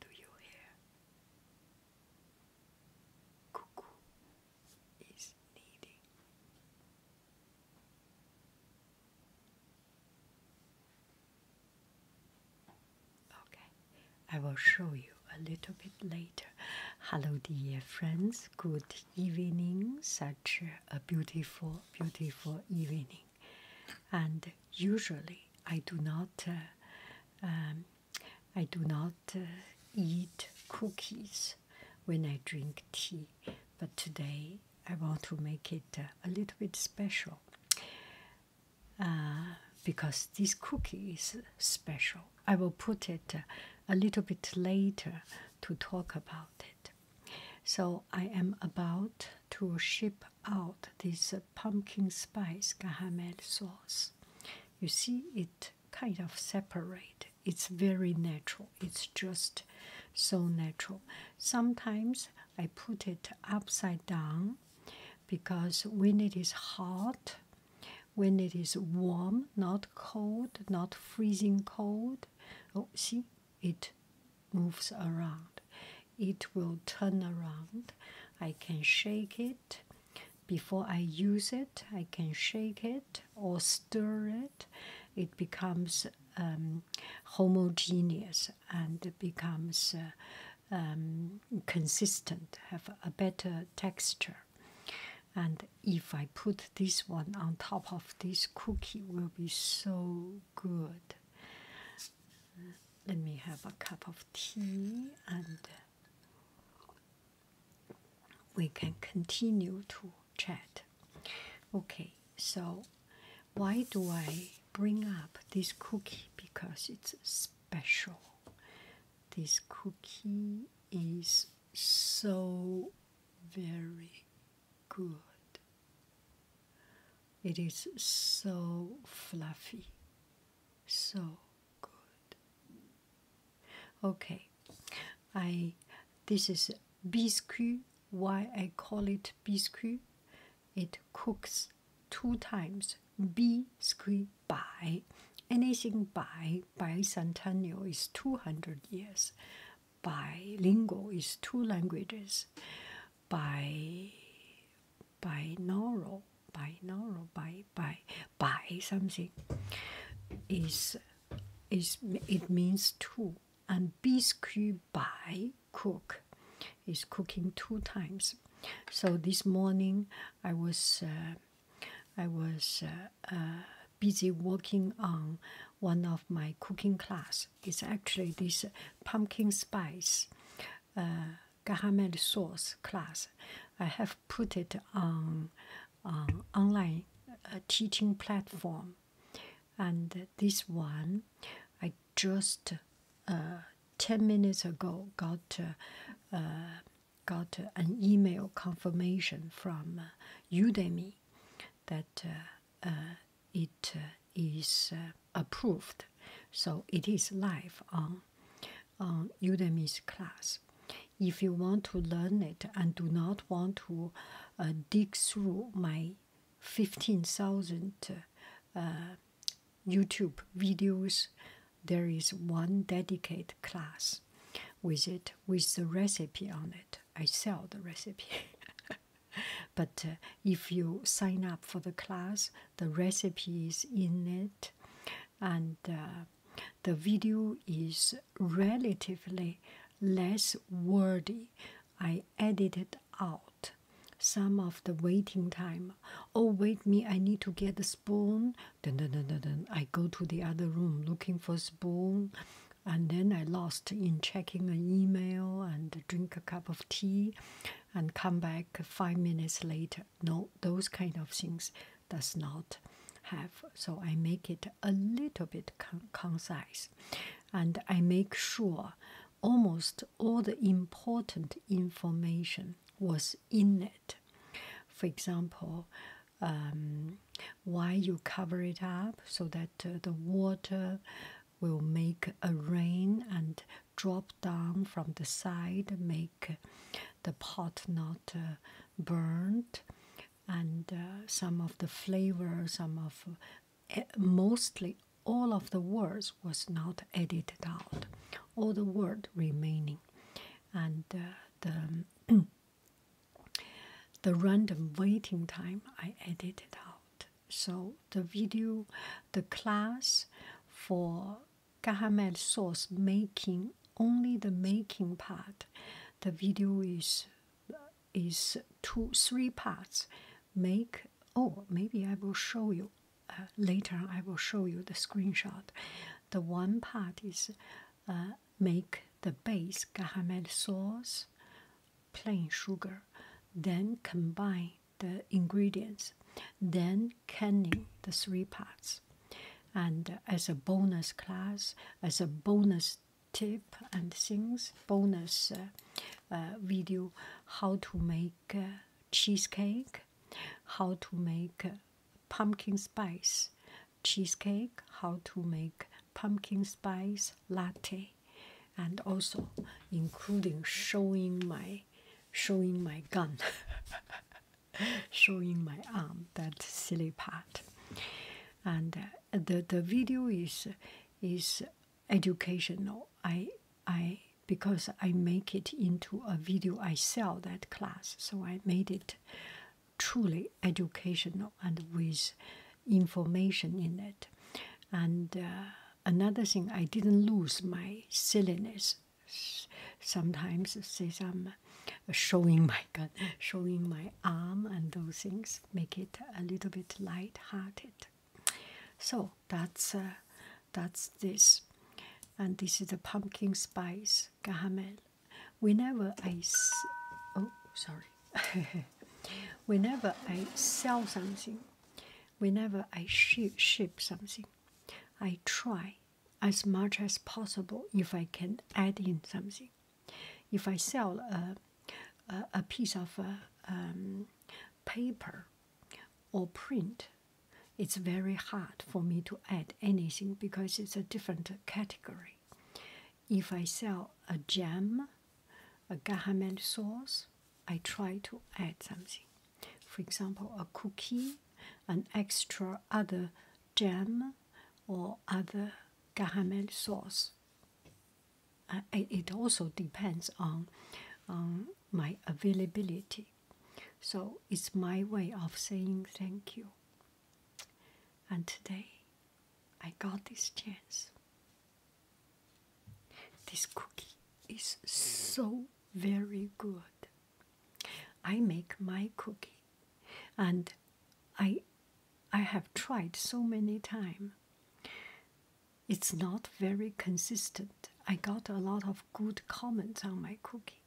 Do you hear? Cuckoo is needing. Okay, I will show you a little bit later. Hello, dear friends. Good evening. Such a beautiful, beautiful evening. And usually, I do not, uh, um, I do not uh, eat cookies when I drink tea. But today, I want to make it uh, a little bit special because this cookie is special. I will put it a little bit later to talk about it. So I am about to ship out this pumpkin spice gahamed sauce. You see, it kind of separate. It's very natural. It's just so natural. Sometimes I put it upside down because when it is hot, when it is warm, not cold, not freezing cold, oh see it moves around it will turn around i can shake it before i use it i can shake it or stir it it becomes um, homogeneous and becomes uh, um, consistent have a better texture and if I put this one on top of this cookie, will be so good. Let me have a cup of tea and we can continue to chat. Okay, so why do I bring up this cookie? Because it's special. This cookie is so very good. It is so fluffy, so good. Okay, I this is biscuit. Why I call it biscuit? It cooks two times. Biscuit by anything by bi bicentennial is 200 years, By bilingual is two languages, by binaural, binaural, by bi bi something is is it means two and biscuit by cook is cooking two times. So this morning I was uh, I was uh, uh, busy working on one of my cooking class. It's actually this pumpkin spice garam uh, masala sauce class. I have put it on um, online teaching platform, and this one I just ten minutes ago got got an email confirmation from uh, Udemy that uh, uh, it is approved. So it is live on, on Udemy's class. If you want to learn it and do not want to dig through my 15,000 YouTube videos, there is one dedicated class with it with the recipe on it. I sell the recipe. but uh, if you sign up for the class, the recipe is in it, and uh, the video is relatively less wordy. I edited out some of the waiting time. Oh, wait me, I need to get a spoon. Dun, I go to the other room looking for spoon, and then I lost in checking an email and drink a cup of tea, and come back five minutes later. No, those kind of things does not have. So I make it a little bit concise, and I make sure almost all the important information was in it. For example, um, why you cover it up so that uh, the water will make a rain and drop down from the side, make the pot not uh, burned, and uh, some of the flavor, some of eh, mostly all of the words was not edited out, all the word remaining, and the the random waiting time I edited out. So the video, the class for Gahamed sauce making only the making part. The video is is two three parts. Make oh maybe I will show you uh, later. I will show you the screenshot. The one part is uh, make the base gahamed sauce, plain sugar, then combine the ingredients, then canning the three parts. And uh, as a bonus class, as a bonus tip and things, bonus uh, video how to make cheesecake, how to make pumpkin spice cheesecake, how to make pumpkin spice latte, and also including showing my showing my gun, showing my arm, that silly part. And uh, the the video is is educational. I I because I make it into a video. I sell that class. So I made it truly educational and with information in it. And uh, another thing, I didn't lose my silliness. Sometimes say some uh, showing my showing my arm, and those things make it a little bit light-hearted. So that's uh, that's this. And this is the pumpkin spice caramel. Whenever I oh sorry, whenever I sell something, whenever I ship ship something, I try as much as possible if I can add in something. If I sell a a, piece of um, paper or print, it's very hard for me to add anything because it's a different category. If I sell a jam, a government sauce, I try to add something. For example, a cookie, an extra other jam, or other caramel sauce. it also depends on, on my availability. So it's my way of saying thank you. And today I got this chance. This cookie is so very good. I make my cookie and I I have tried so many times. It's not very consistent. I got a lot of good comments on my cooking,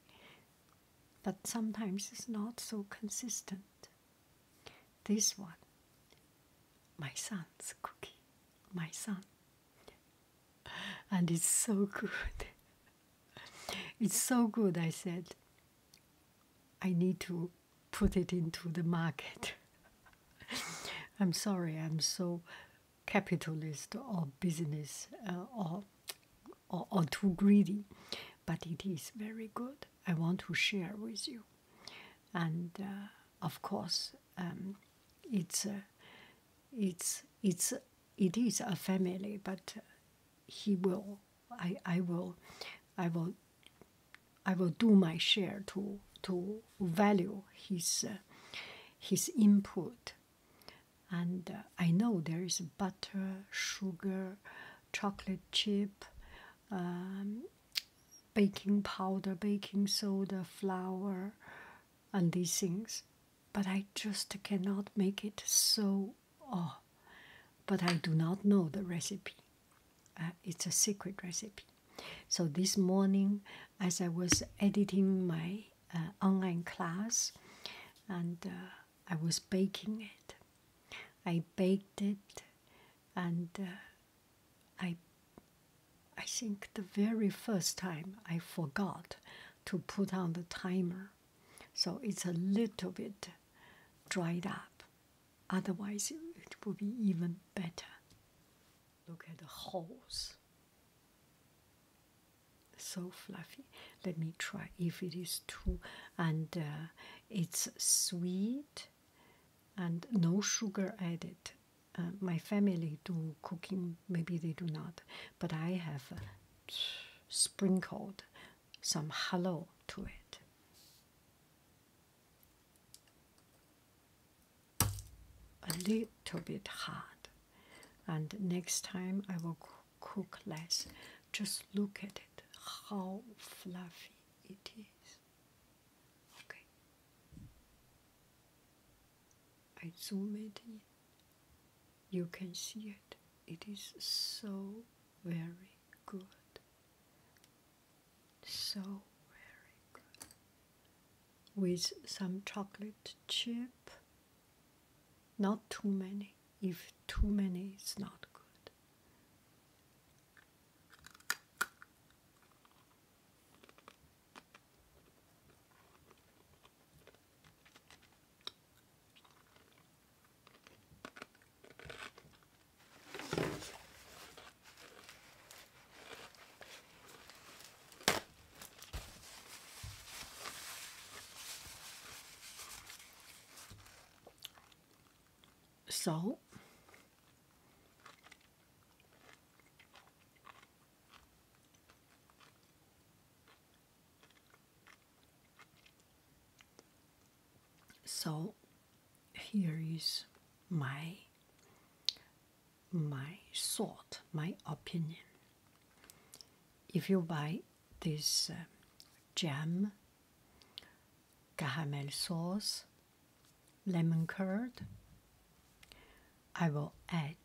but sometimes it's not so consistent. This one, my son's cookie, my son, and it's so good. it's so good, I said. I need to put it into the market. I'm sorry, I'm so capitalist or business uh, or, or or too greedy, but it is very good. I want to share with you, and uh, of course, um, it's uh, it's it's it is a family, but he will. I I will, I will. I will do my share to to value his his input and uh, I know there is butter, sugar, chocolate chip, um, baking powder, baking soda, flour, and these things, but I just cannot make it so. Oh, but I do not know the recipe. Uh, it's a secret recipe. So this morning, as I was editing my uh, online class, and uh, I was baking it, I baked it, and uh, I, I think the very first time I forgot to put on the timer, so it's a little bit dried up. Otherwise, it would be even better. Look at the holes. So fluffy. Let me try if it is too, and uh, it's sweet and no sugar added. Uh, my family do cooking, maybe they do not, but I have uh, sprinkled some hallow to it a little bit hard and next time i will cook less just look at it how fluffy it is okay i zoom it in you can see it it is so very good so very good with some chocolate chip. Not too many. If too many, it's not good salt so here is my my thought, my opinion. If you buy this uh, jam, caramel sauce, lemon curd, I will add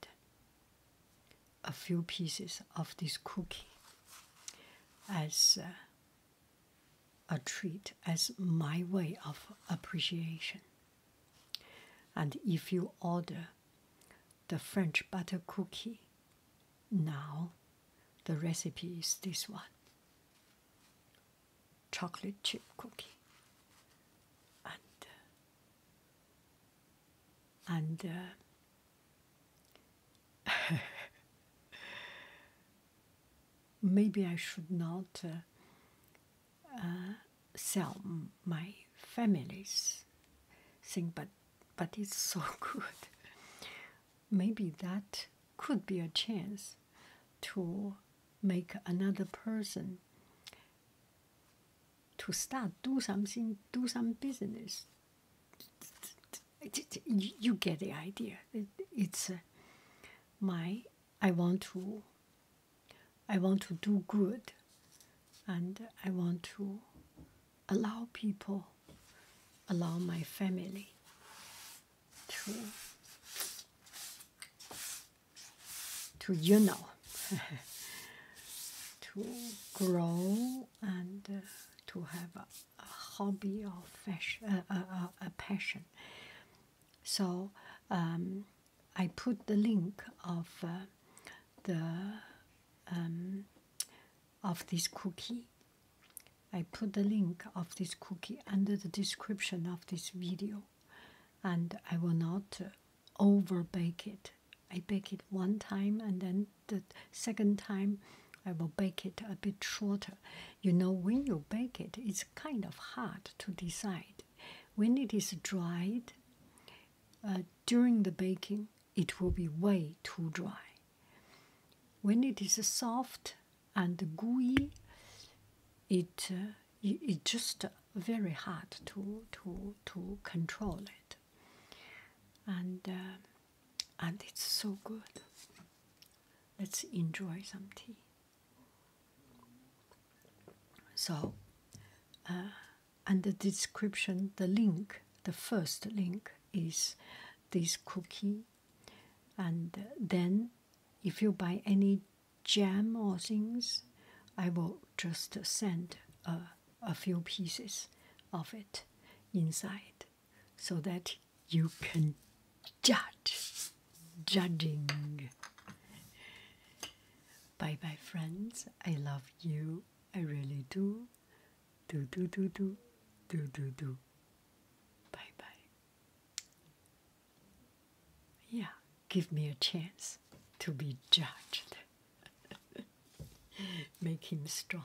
a few pieces of this cookie as uh, a treat, as my way of appreciation. And if you order the French butter cookie, now the recipe is this one chocolate chip cookie. And uh, and uh, maybe I should not uh, uh, sell my family's thing, but but it's so good. maybe that could be a chance to make another person to start do something, do some business. You get the idea. It's uh, my I want to I want to do good and I want to allow people allow my family to to you know to grow and uh, to have a, hobby or fashion, a, a, a passion so um, I put the link of uh, the um, of this cookie. I put the link of this cookie under the description of this video, and I will not uh, over bake it. I bake it one time, and then the second time, I will bake it a bit shorter. You know, when you bake it, it's kind of hard to decide. When it is dried uh, during the baking, it will be way too dry. When it is soft and gooey, it's uh, just very hard to to to control it. And uh, and it's so good. Let's enjoy some tea. So, uh, and the description, the link, the first link is this cookie, and then if you buy any jam or things, I will just send a few pieces of it inside so that you can judge. Judging. Bye bye, friends. I love you. I really do. Do, do, do, do. Do, do, do. Bye bye. Yeah, give me a chance to be judged. Make him strong.